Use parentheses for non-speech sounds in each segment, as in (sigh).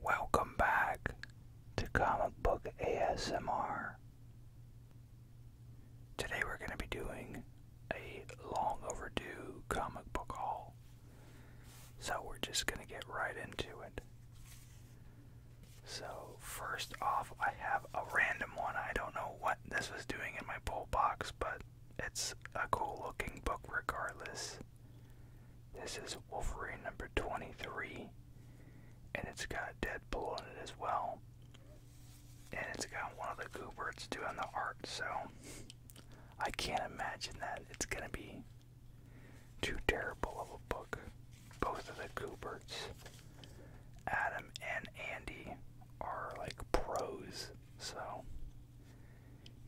Welcome back to Comic Book ASMR. Today we're going to be doing a long overdue comic book haul. So we're just going to get right into it. So, first off, I have a random one. I don't know what this was doing in my pull box, but it's a cool looking book regardless. This is Wolverine number 23, and it's got Deadpool in it as well. And it's got one of the Gooberts doing the art, so I can't imagine that it's gonna be too terrible of a book. Both of the Gooberts, Adam and Andy, are like pros, so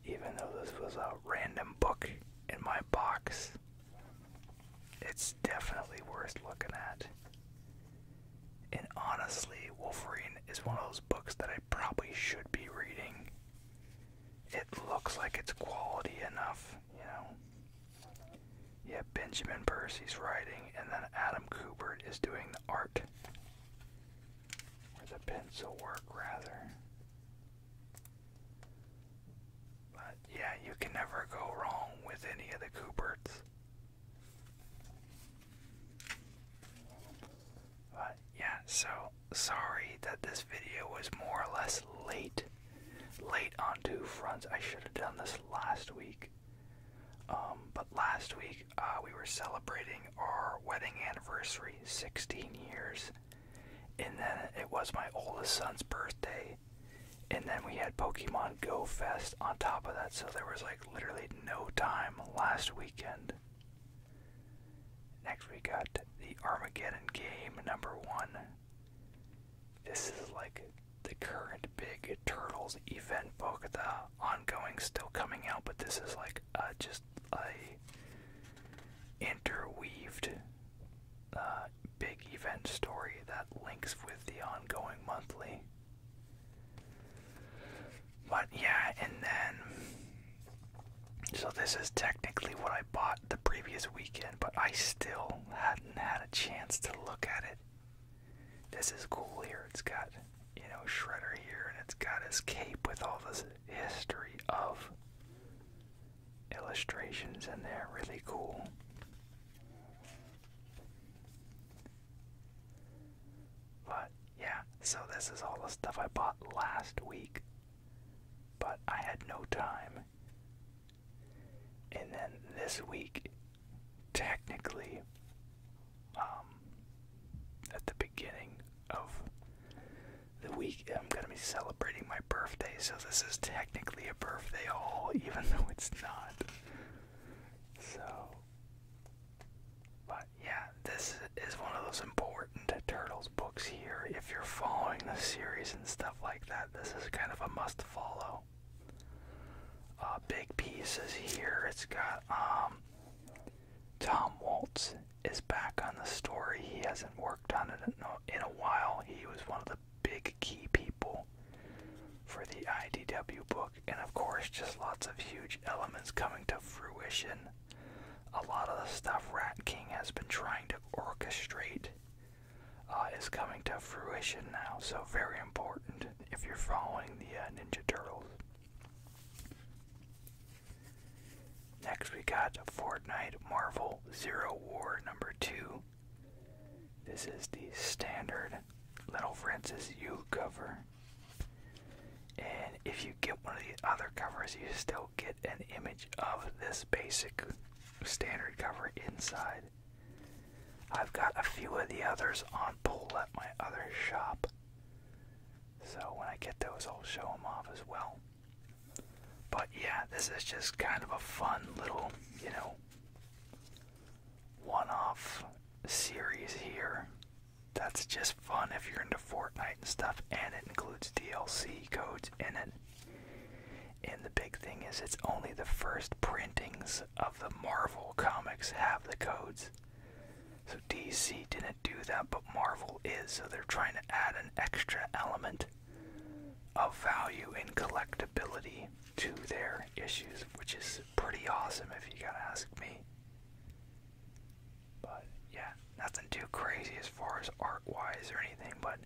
even though this was a random book in my box, it's definitely worth looking at. And honestly, Wolverine is one of those books that I probably should be reading. It looks like it's quality enough, you know. Yeah, Benjamin Percy's writing, and then Adam Kubert is doing the art. Or the pencil work, rather. But yeah, you can never go wrong with any of the Cooperts. But yeah, so sorry that this video was more or less late. Late on two fronts. I should have done this last week. Um, but last week uh, we were celebrating our wedding anniversary, 16 years. And then it was my oldest son's birthday. And then we had Pokemon Go Fest on top of that. So there was like literally no time last weekend. Next, we got the Armageddon game number one. This is like the current big Turtles event book. The ongoing still coming out, but this is like just a interweaved uh, big event story that links with the ongoing monthly. But yeah, and then so this is technically what I bought the previous weekend, but I still hadn't had a chance to look at it. This is cool here. It's got you know Shredder here, and it's got his cape with all this history of illustrations in there, really cool. But yeah, so this is all the stuff I bought last week, but I had no time. And then this week, technically, um, at the beginning of the week I'm gonna be celebrating my birthday, so this is technically a birthday haul, (laughs) even though it's not. So, but yeah, this is one of those important Turtles books here. If you're following the series and stuff like that, this is kind of a must follow. Uh, big pieces here. It's got um, Tom Waltz is back on the story. He hasn't worked on it in a while. He was one of the big key people for the IDW book, and of course, just lots of huge elements coming to fruition. A lot of the stuff Rat King has been trying to orchestrate uh, is coming to fruition now, so very important if you're following the uh, Ninja Turtles. Next, we got Fortnite Marvel Zero War number two. This is the standard Little Francis U cover. And if you get one of the other covers, you still get an image of this basic standard cover inside. I've got a few of the others on pull at my other shop. So when I get those, I'll show them off as well. But yeah, this is just kind of a fun little, you know, one off series here. That's just fun if you're into Fortnite and stuff, and it includes DLC codes in it. And the big thing is, it's only the first printings of the Marvel comics have the codes. So DC didn't do that Marvel is, so they're trying to add an extra element of value and collectibility to their issues, which is pretty awesome if you gotta ask me. But yeah, nothing too crazy as far as art wise or anything, but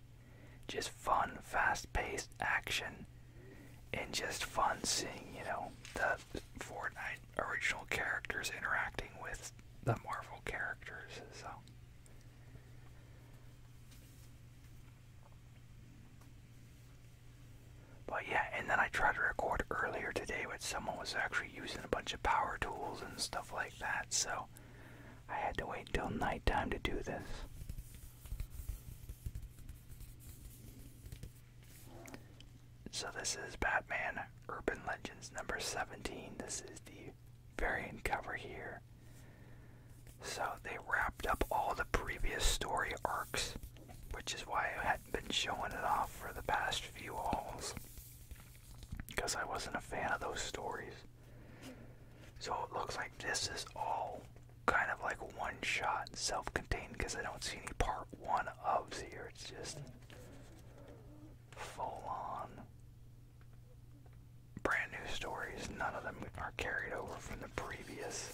just fun, fast paced action and just fun seeing, you know, the Fortnite original characters interacting with the Marvel characters. So but yeah, and then I tried to record earlier today, but someone was actually using a bunch of power tools and stuff like that, so I had to wait till nighttime to do this. So this is Batman Urban Legends number 17. This is the variant cover here. So they wrapped up all the previous story arcs, which is why I hadn't been showing it off for the past few hauls. Because I wasn't a fan of those stories. So it looks like this is all kind of like one shot, self contained, because I don't see any part one of here. It's just full on brand new stories. None of them are carried over from the previous.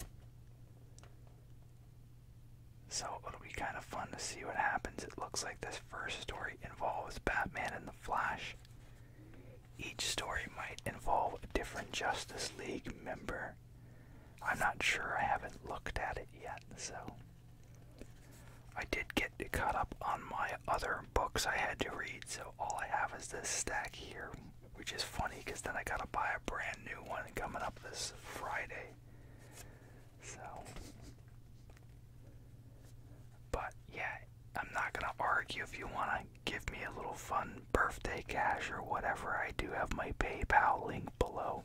So it'll be kind of fun to see what happens. It looks like this first story involves Batman and the Flash. Each story might involve a different Justice League member. I'm not sure, I haven't looked at it yet, so. I did get caught up on my other books I had to read, so all I have is this stack here, which is funny because then I gotta buy a brand new one coming up this Friday. So, but yeah, I'm not gonna argue if you wanna give me a little fun birthday cash or whatever. I do have my PayPal link below,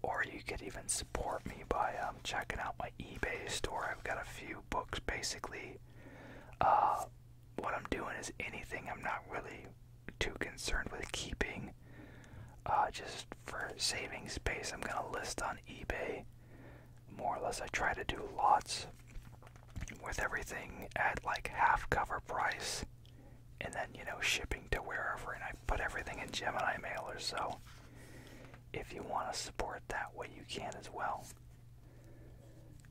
or you could even support me by um, checking out my eBay store. I've got a few books basically. Uh, what I'm doing is anything I'm not really too concerned with keeping. Uh, just for saving space, I'm going to list on eBay. More or less, I try to do lots with everything at like half cover price and then, you know, shipping to wherever. And I put everything in Gemini Mail or so if you want to support that way, you can as well.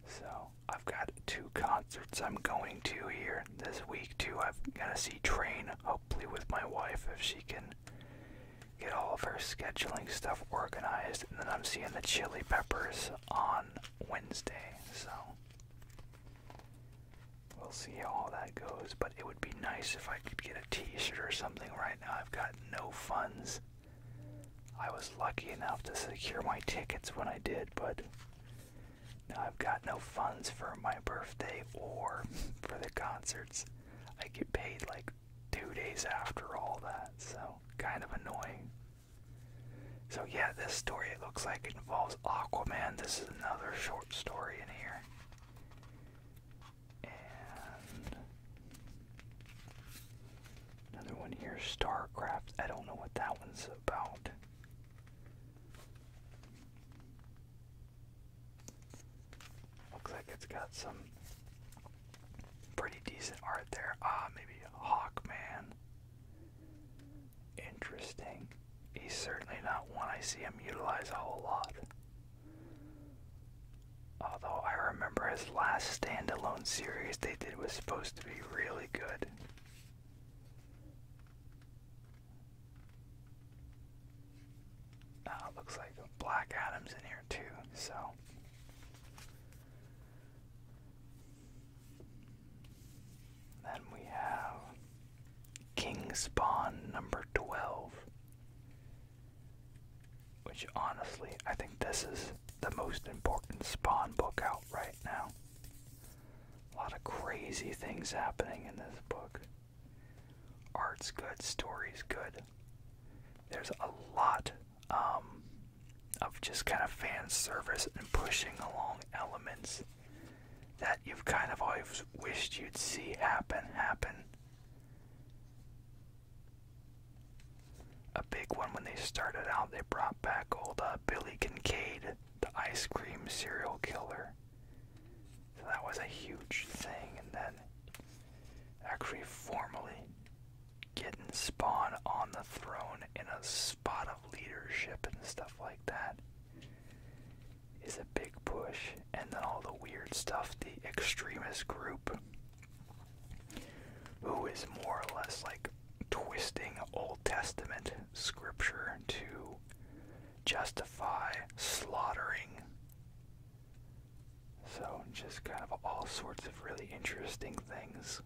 So, I've got two concerts I'm going to here this week, too. I've got to see Train, hopefully, with my wife if she can get all of her scheduling stuff organized. And then I'm seeing the Chili Peppers on Wednesday, so we'll see how all that goes. But it would be nice if I could get a t shirt or something, right? now I've got no funds. I was lucky enough to secure my tickets when I did, but now I've got no funds for my birthday or for the concerts. I get paid like two days after all that, so kind of annoying. So, yeah, this story it looks like it involves Aquaman. This is another short story in here another one here, StarCraft. I don't know what that one's about. Looks like it's got some pretty decent art there. Ah, maybe Hawkman. Interesting. He's certainly not one I see him utilize a whole lot. Although I remember his last standalone series they did was supposed to be really good. Ah, oh, looks like Black Adam's in here too, so. Then we have King Spawn number 12. Which honestly, I think this is the most important Spawn book out right now. A lot of crazy things happening in this book. Art's good, story's good. There's a lot um, of just kind of fan service and pushing along elements that you've kind of always wished you'd see happen, happen. A big one when they started out, they brought back old uh, Billy Kincaid, the ice cream serial killer. So that was a huge thing, and then actually formally getting Spawn on the throne in a spot of leadership and stuff like that is a big push and then all the weird stuff, the extremist group, who is more or less like twisting Old Testament scripture to justify slaughtering. So, just kind of all sorts of really interesting things.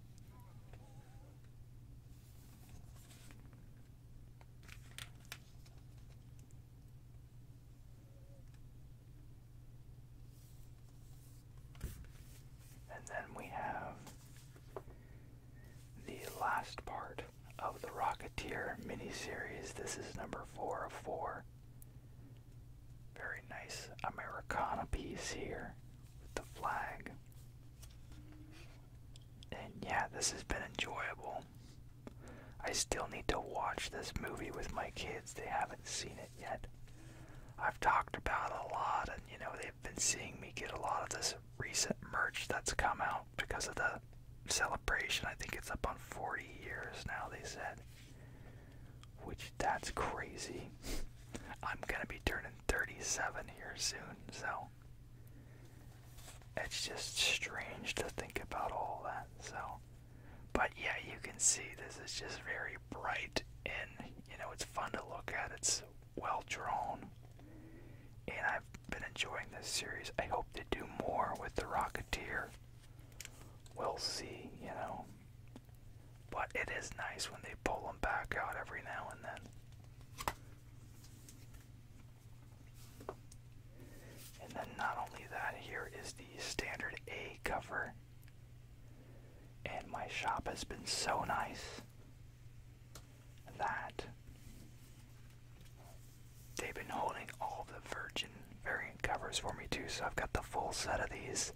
And then we have the last part of the Rocketeer miniseries. This is number four of four. Very nice Americana piece here with the flag. And yeah, this has been enjoyable. I still need to watch this movie with my kids. They haven't seen it yet. I've talked about it a lot, and you know, they've been seeing me get a lot of this recent merch that's come out because of the celebration. I think it's up on 40 years now, they said. Which, that's crazy. (laughs) I'm gonna be turning 37 here soon, so. It's just strange to think about all that, so. But yeah, you can see this is just very bright and you know it's fun to look at. It's well drawn. And I've been enjoying this series. I hope they do more with the Rocketeer. We'll see, you know. But it is nice when they pull them back out every now and then. And then not only that, here is the standard A cover. And my shop has been so nice that they've been holding all the Virgin variant covers for me too, so I've got the full set of these.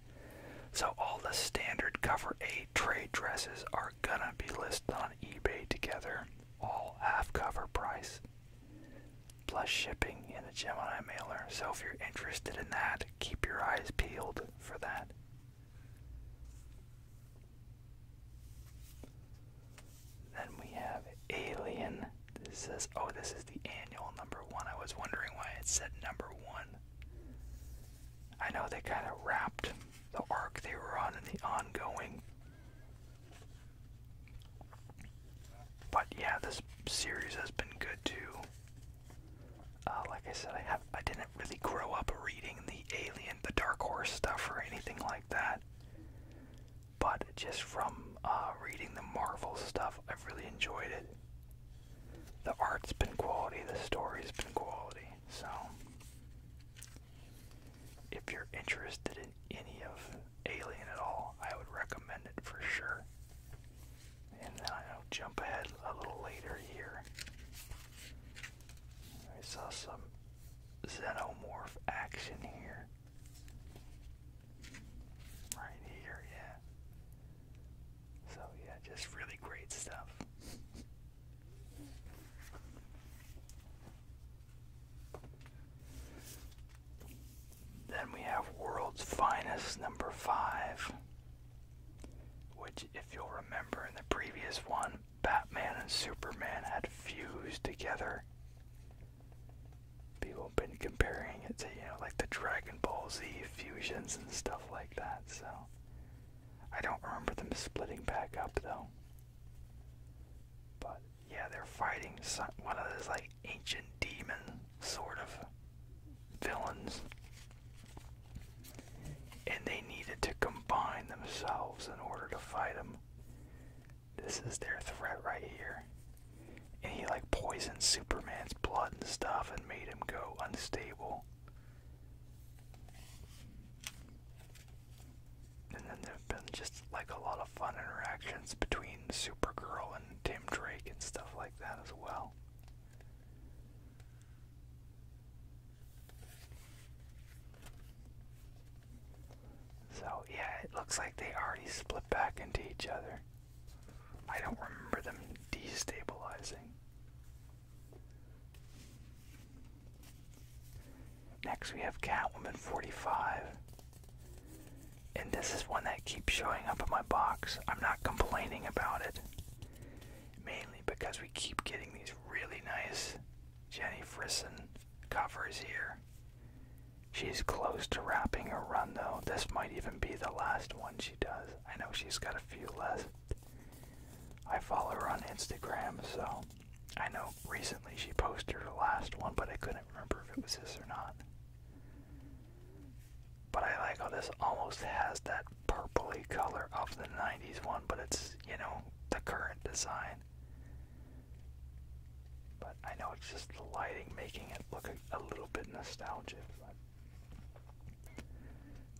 So all the standard cover A trade dresses are gonna be listed on eBay together, all half cover price plus shipping in the Gemini mailer. So if you're interested in that, keep your eyes peeled for that. Then we have Alien. This says, oh, this is the annual number one. I was wondering why it said number one. I know they kind of wrapped the arc they were on in the ongoing. But yeah, this series has been good too. Uh, like I said, I have I didn't really grow up reading the Alien, the Dark Horse stuff, or anything like that. But just from uh, reading the Marvel stuff, I've really enjoyed it. The art's been quality, the story's been quality. So, if you're interested in any of Alien at all, I would recommend it for sure. And I'll jump ahead a little later here. I saw some xenomorph action here. Right here, yeah. So, yeah, just really great stuff. Then we have World's Finest number 5, which, if you'll remember in the previous one, Batman and Superman had fused together. People have been comparing it to, you know, like the Dragon Ball Z fusions and stuff like that, so. I don't remember them splitting back up though. But yeah, they're fighting one of those like ancient demon sort of villains. And they needed to combine themselves in order to fight them. This is their threat right here. And he like poisoned Superman's blood and stuff and made him go unstable. And then there have been just like a lot of fun interactions between Supergirl and Tim Drake and stuff like that as well. So, yeah, it looks like they already split back into each other. I don't remember them destabilizing. Next, we have Catwoman 45. And this is one that keeps showing up in my box. I'm not complaining about it. Mainly because we keep getting these really nice Jenny Frisson covers here. She's close to wrapping her run though. This might even be the last one she does. I know she's got a few left. I follow her on Instagram, so I know recently she posted her last one, but I couldn't remember if it was this or not. But I like how this almost has that purply color of the 90s one, but it's, you know, the current design. But I know it's just the lighting making it look a, little bit nostalgic. But,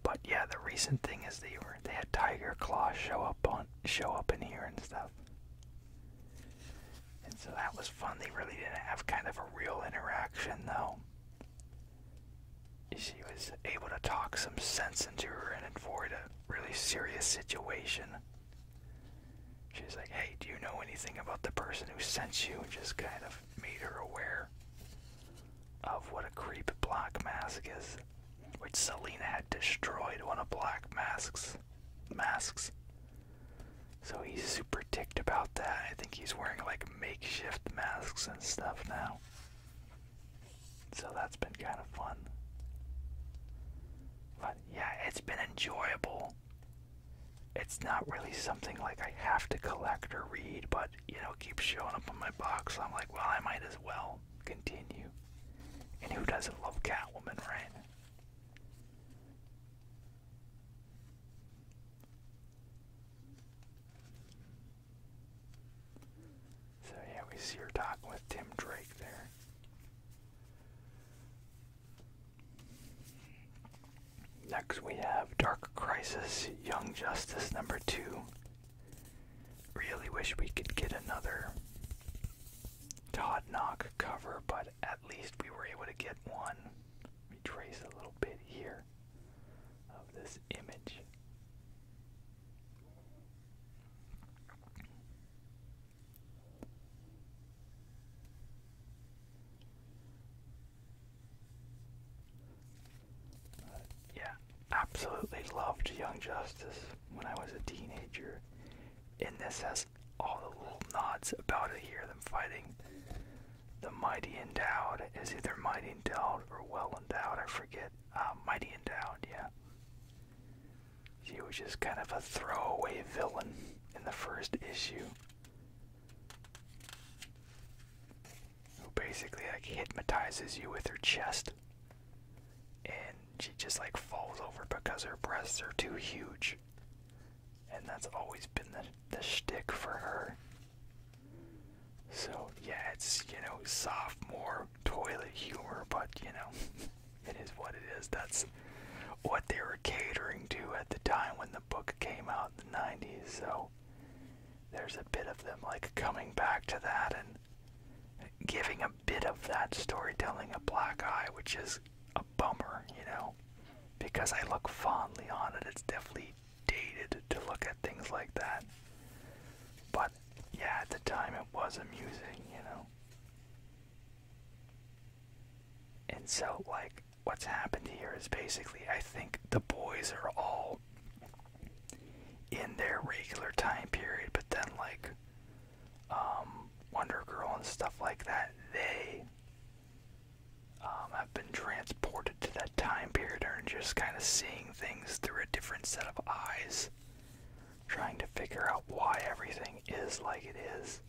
but yeah, the recent thing is they were they had Tiger Claw show up on show up in here and stuff. And so that was fun. They really didn't have kind of a real interaction, though. She was able to talk some sense into her and avoid a really serious situation. She's like, hey, do you know anything about the person who sent you? And just kind of made her aware of what a creep black mask is, which Selina had destroyed one of black masks masks. So he's super ticked about that. I think he's wearing like makeshift masks and stuff now. So that's been kind of fun. But yeah, it's been enjoyable. It's not really something like I have to collect or read, but you know, keeps showing up on my box. I'm like, well, I might as well continue. And who doesn't love Catwoman, right? So yeah, we see her talking with Tim Drake there. Next we have Dark Crisis Young Justice number 2. Really wish we could get another Todd knock cover, but at least we were able to get one. Let a little bit here of this image. yeah, absolutely loved Young Justice when I was a teenager. And this has all the little nods about to hear them fighting. The mighty endowed is either mighty endowed or well endowed, I forget. Uh, mighty endowed, yeah. She was just kind of a throwaway villain in the first issue. Who basically like hypnotizes you with her chest. And she just like falls over because her breasts are too huge. And that's always been the, the shtick for her. So, yeah, it's, you know, sophomore toilet humor, but, you know, (laughs) it is what it is. That's what they were catering to at the time when the book came out in the 90s, so there's a bit of them, like, coming back to that and giving a bit of that storytelling a black eye, which is a bummer, you know, because I look fondly on it. It's definitely dated to look at things like that. But yeah, at the time it was amusing, you know. And so, like, what's happened here is basically, I think the boys are all in their regular time period, but then, like, um, Wonder Girl and stuff like that, they um, have been transported to that time period and just kind of seeing things through a different set of eyes, trying to figure out why everything is like it is.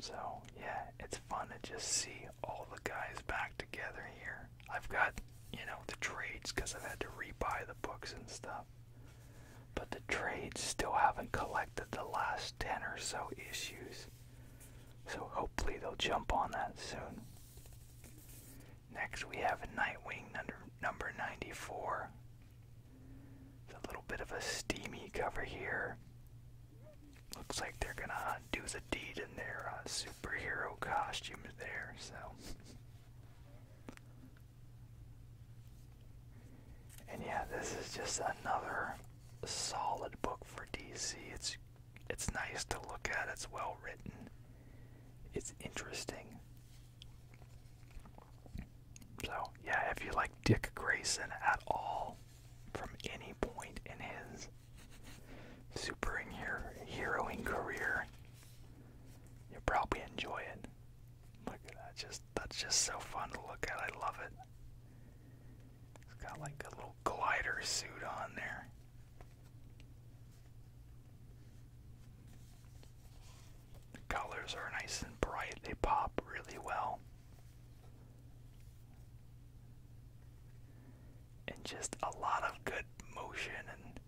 So, yeah, it's fun to just see all the guys back together here. I've got, you know, the trades because I've had to re-buy the books and stuff. But the trades still haven't collected the last 10 or so issues. So hopefully they'll jump on that soon. Next we have a Nightwing number, number 94. It's a little bit of a steamy cover here. Looks like they're gonna uh, do the deed in their uh, superhero costumes there, so. And yeah, this is just another solid book for DC. It's it's nice to look at. It's well written. It's interesting. So yeah, if you like Dick Grayson at all, from any point in his superhero heroing career, you'll probably enjoy it. Look at that, just that's just so fun to look at. I love it. It's got like a little glider suit on there. The colors are nice and bright, they pop really well and just a lot of good motion and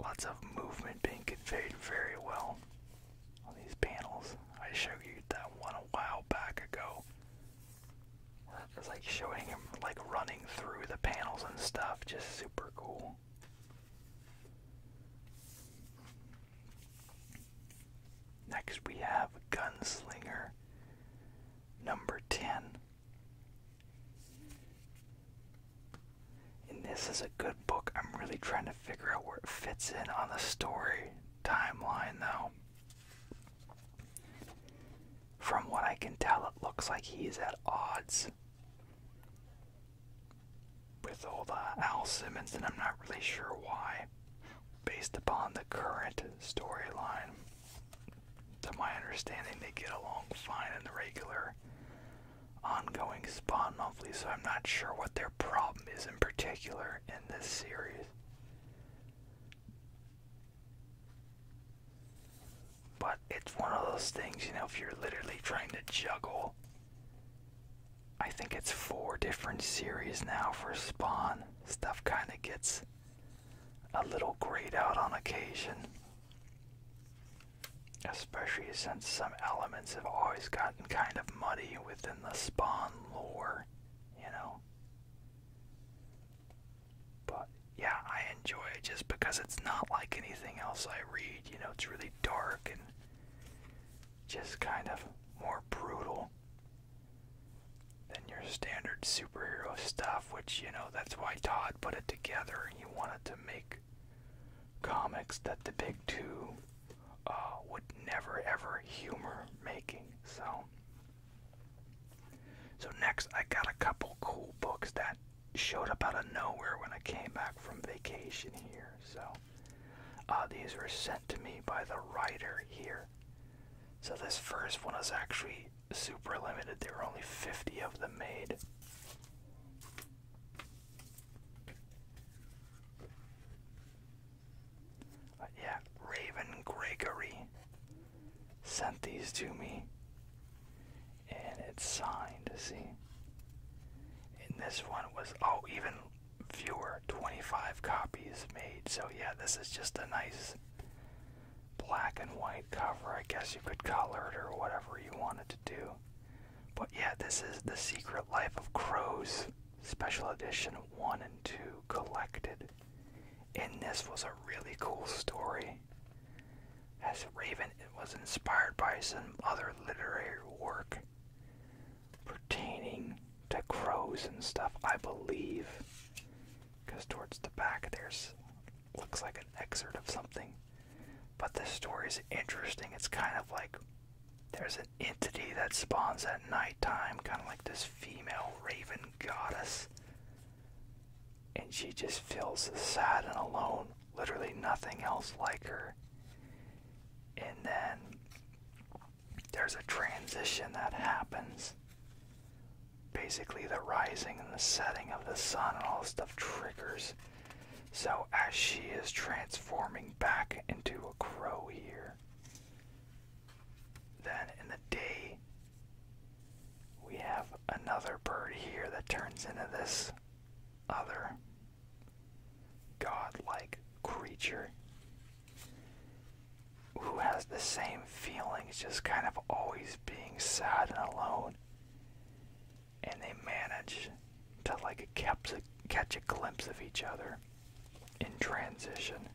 lots of movement being conveyed very well on these panels. I showed you that one a while back ago. It's like showing him like running through the panels and stuff, just super cool. Next, we have Gunslinger number 10. And this is a good book. I'm really trying to figure out where it fits in on the story timeline, though. From what I can tell, it looks like he's at odds with all the Al Simmons, and I'm not really sure why based upon the current storyline. To my understanding, they get along fine in the regular ongoing Spawn monthly, so I'm not sure what their problem is in particular in this series. But it's one of those things, you know, if you're literally trying to juggle I think it's four different series now for Spawn. Stuff kind of gets a little grayed out on occasion. Especially since some elements have always gotten kind of muddy within the Spawn lore, you know? But yeah, I enjoy it just because it's not like anything else I read. You know, it's really dark and just kind of more brutal than your standard superhero stuff, which, you know, that's why Todd put it together. He wanted to make comics that the big two uh, would never ever humor making. So. So next, I got a couple cool books that showed up out of nowhere when I came back from vacation here. So uh, these were sent to me by the writer here. So this first one is actually super limited. There were only 50 of them made. Uh, yeah, Raven Gregory sent these to me. And it's signed, see? And this one was, oh, even fewer 25 copies made. So, yeah, this is just a nice black and white cover. I guess you could color it or whatever you wanted to do. But, yeah, this is The Secret Life of Crows Special Edition 1 and 2 collected. And this was a really cool story. As Raven, it was inspired by some other literary work pertaining to crows and stuff, I believe. Because towards the back there's looks like an excerpt of something. But this story is interesting. It's kind of like there's an entity that spawns at nighttime, kind of like this female raven goddess. And she just feels sad and alone, literally nothing else like her. And then there's a transition that happens. Basically, the rising and the setting of the sun and all this stuff triggers. So, as she is transforming back into a crow here, then in the day, we have another bird here that turns into this other godlike creature who has the same feelings, just kind of always being sad and alone, and they manage to like catch a, glimpse of each other in transition.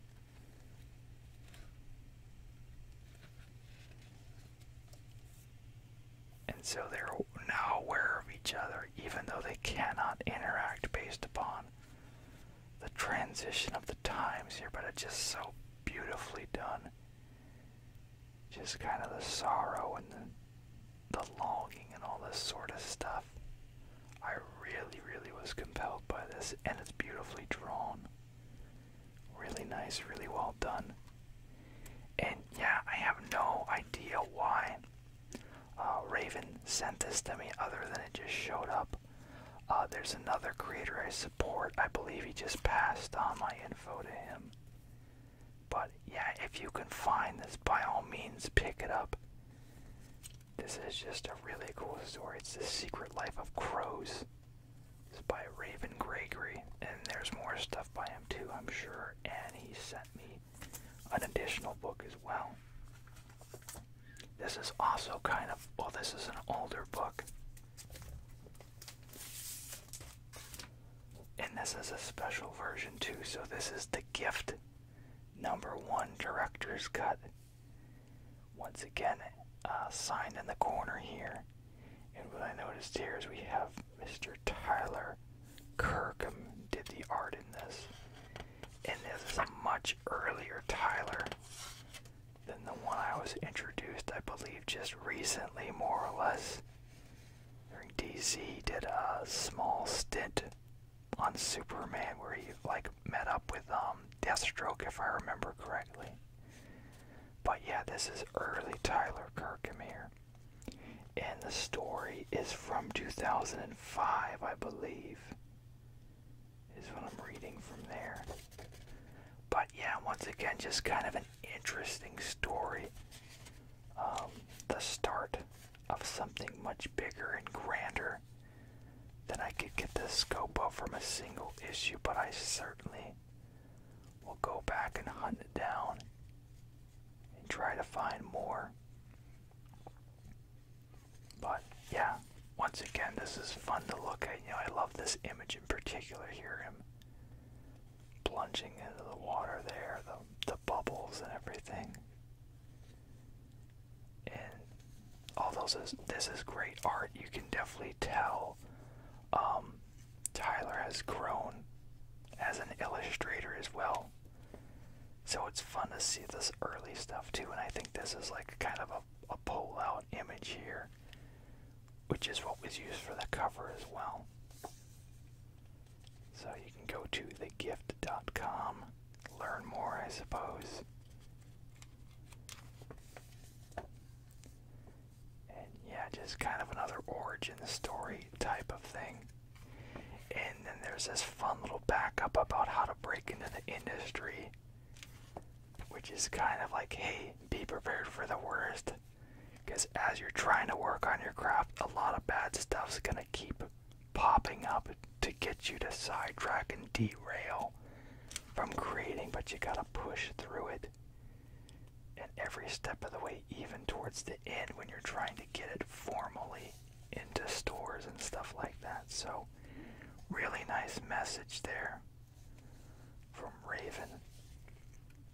And so they're now aware of each other, even though they cannot interact based upon the transition of the times here, but it's just so beautifully done. Just kind of the sorrow and the, longing and all this sort of stuff. I really, really was compelled by this, and it's beautifully drawn. Really nice, really well done. And yeah, I have no idea why uh, Raven sent this to me other than it just showed up. Uh, there's another creator I support. I believe he just passed on my info to him. But yeah, if you can find this, by all means, pick it up. This is just a really cool story. It's The Secret Life of Crows. It's by Raven Gregory. And there's more stuff by him too, I'm sure. And he sent me an additional book as well. This is also kind of, well, this is an older book. And this is a special version too, so this is the gift number one director's cut. Once again, uh, signed in the corner here. And what I noticed here is we have Mr. Tyler Kirkham did the art in this and this is a much earlier Tyler than the one I was introduced, I believe, just recently, more or less. During DC, did a small stint on Superman where he like met up with um, Deathstroke, if I remember correctly. But yeah, this is early Tyler Kirkham here, and the story is from 2005, I believe is what I'm reading from there. But yeah, once again, just kind of an interesting story. Um, the start of something much bigger and grander than I could get the scope of from a single issue, but I certainly will go back and hunt it down and try to find more. But yeah, once again, this is fun to look at. You know, I love this image in particular here him plunging into the water there, the, the bubbles and everything. And although this is, this is great art, you can definitely tell um, Tyler has grown as an illustrator as well. So it's fun to see this early stuff too, and I think this is like kind of a, pull out image here, which is what was used for the cover as well. So you can go to thegift.com, learn more, I suppose. And yeah, just kind of another origin story type of thing. And then there's this fun little backup about how to break into the industry, which is kind of like, hey, be prepared for the worst. Because as you're trying to work on your craft, a lot of bad stuff's going to keep popping up to get you to sidetrack and derail from creating, but you got to push through it. And every step of the way, even towards the end when you're trying to get it formally into stores and stuff like that. So, really nice message there from Raven.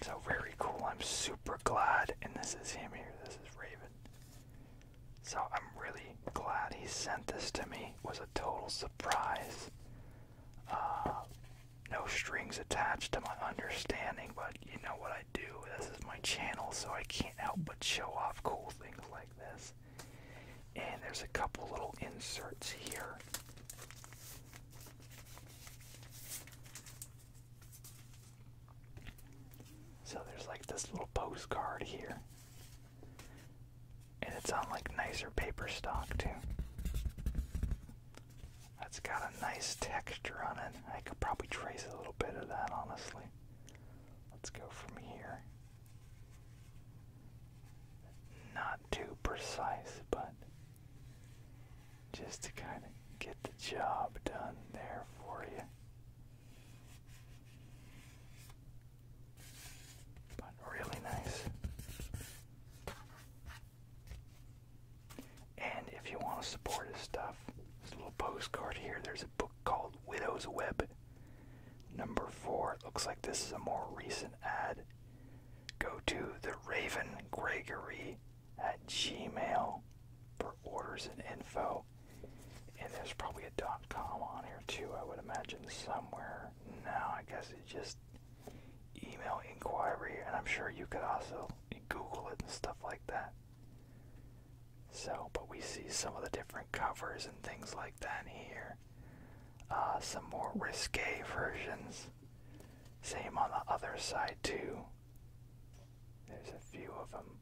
So, very cool. I'm super glad. And this is him here. This is Raven. So, I'm really glad he sent this to me. was a total surprise. Uh, no strings attached to my understanding, but you know what I do. This is my channel, so I can't help but show off cool things like this. And there's a couple little inserts here. So there's like this little postcard here. And it's on like nicer paper stock too. That's got a nice texture on it. I could probably trace a little bit of that honestly. Let's go from here. Not too precise, but just to kind of get the job done there for you. But really nice. And if you want to support his stuff, there's little postcard here. There's book called Widow's Web. Number four, looks like this is a more recent ad. Go to the Raven Gregory at Gmail for orders and info. And there's probably a dot .com on here too, I would imagine somewhere. Now I guess it's just email inquiry, and I'm sure you could also Google it and stuff like that. So, but we see some of the different covers and things like that here. Uh, some more risque versions. Same on the other side, too. There's a few of them.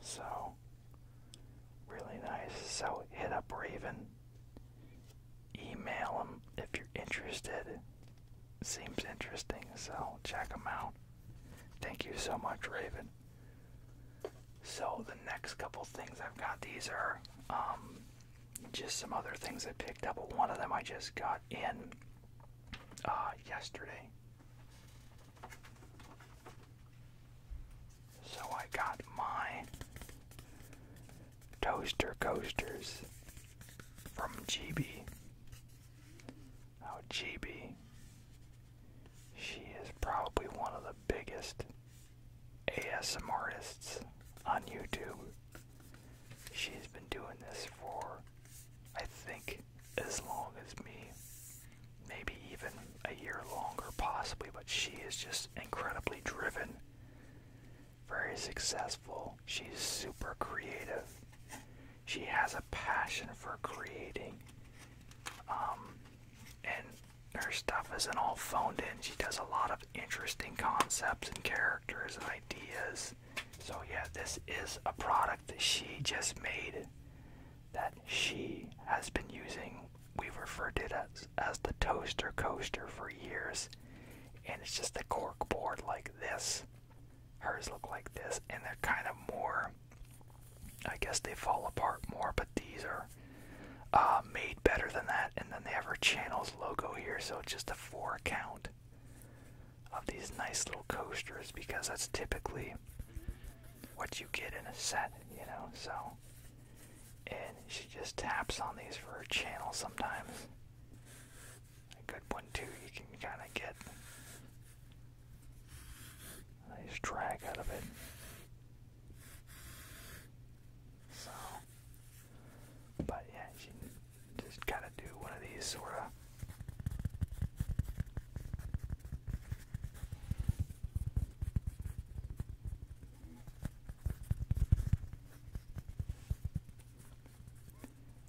So, really nice. So, hit up Raven. Email him if you're interested. Seems interesting, so check him out. Thank you so much, Raven. So the next couple things I've got these are um, just some other things I picked up. One of them I just got in uh, yesterday. So I got my toaster coasters from GB. Oh, GB. She is probably one of the biggest ASM artists on YouTube. She's been doing this for, I think, as long as me. Maybe even a year longer, possibly, but she is just incredibly driven, very successful. She's super creative she has a passion for creating. Um, and her stuff isn't all phoned in. She does a lot of interesting concepts and characters and ideas. So, yeah, this is a product that she just made that she has been using. We've referred to it as the toaster coaster for years. And it's just a cork board like this Hers look like this, and they're kind of more. I guess they fall apart more, but these are uh, made better than that. And then they have her channel's logo here, so it's just a four count of these nice little coasters because that's typically what you get in a set, you know. So, and she just taps on these for her channel sometimes a good one too. You can kind of get nice drag out of it. So, but yeah, you just gotta do one of these sort of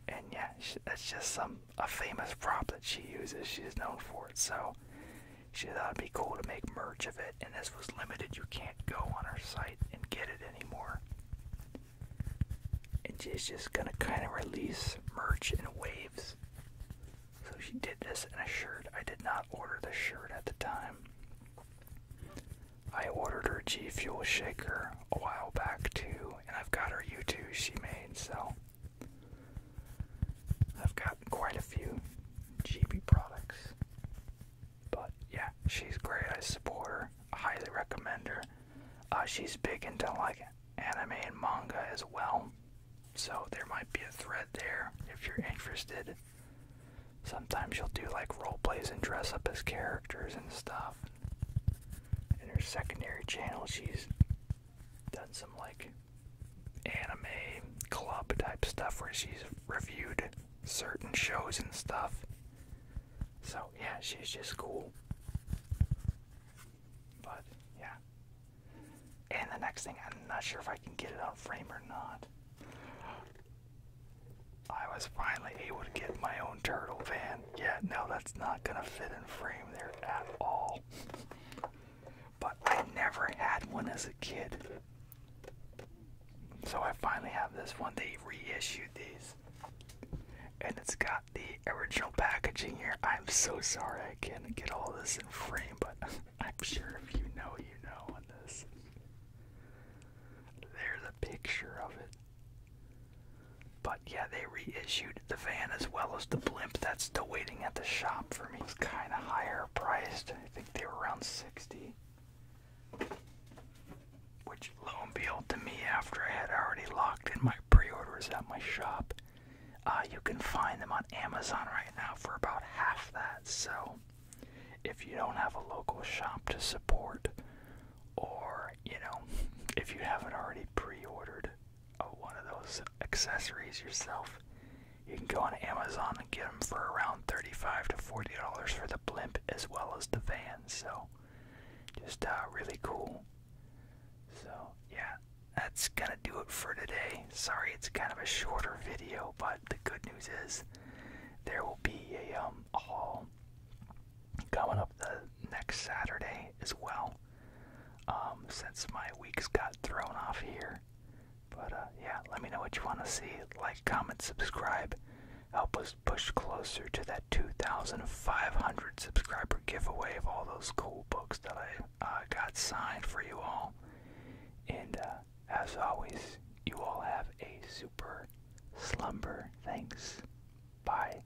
and yeah, she, that's just some a famous prop that she uses. She's known for it, so she thought it'd be cool to make merch of it. And this was limited; you can't go on her site and get it anymore. And she's just gonna kind of release merch in waves. So she did this in a shirt. I did not order the shirt at the time. I ordered her G Fuel shaker a while back too, and I've got her U2 she made, so I've got quite a few GB products. But yeah, she's great. I support her. I highly recommend her. Uh, she's big into like anime and manga as well. So there might be a thread there if you're interested. Sometimes she will do like role plays and dress up as characters and stuff. In her secondary channel, she's done some like anime club type stuff where she's reviewed certain shows and stuff. So yeah, she's just cool. But yeah. And the next thing, I'm not sure if I can get it on frame or not. I was finally able to get my own turtle van yeah, no, that's not gonna fit in frame there at all. But I never had one as a kid. So I finally have this one. They reissued these. And it's got the original packaging here. I'm so sorry I can't get all this in frame, but (laughs) I'm sure if you know, you know on this. There's a picture of it. But yeah, they reissued the van as well as the blimp that's still waiting at the shop for me. It was kind of higher priced. I think they were around 60. Which, lo and behold, to me, after I had already locked in my pre orders at my shop, uh, you can find them on Amazon right now for about half that. So, if you don't have a local shop to support, or, you know, (laughs) if you haven't already pre ordered, one of those accessories yourself. You can go on Amazon and get them for around thirty-five to forty dollars for the blimp as well as the van. So, just uh, really cool. So yeah, that's gonna do it for today. Sorry, it's kind of a shorter video, but the good news is there will be a um haul coming up the next Saturday as well. Um, since my weeks got thrown off here. But uh, yeah, let me know what you want to see. Like, comment, subscribe. Help us push closer to that 2,500 subscriber giveaway of all those cool books that I uh, got signed for you all. And uh, as always, you all have a super slumber. Thanks. Bye.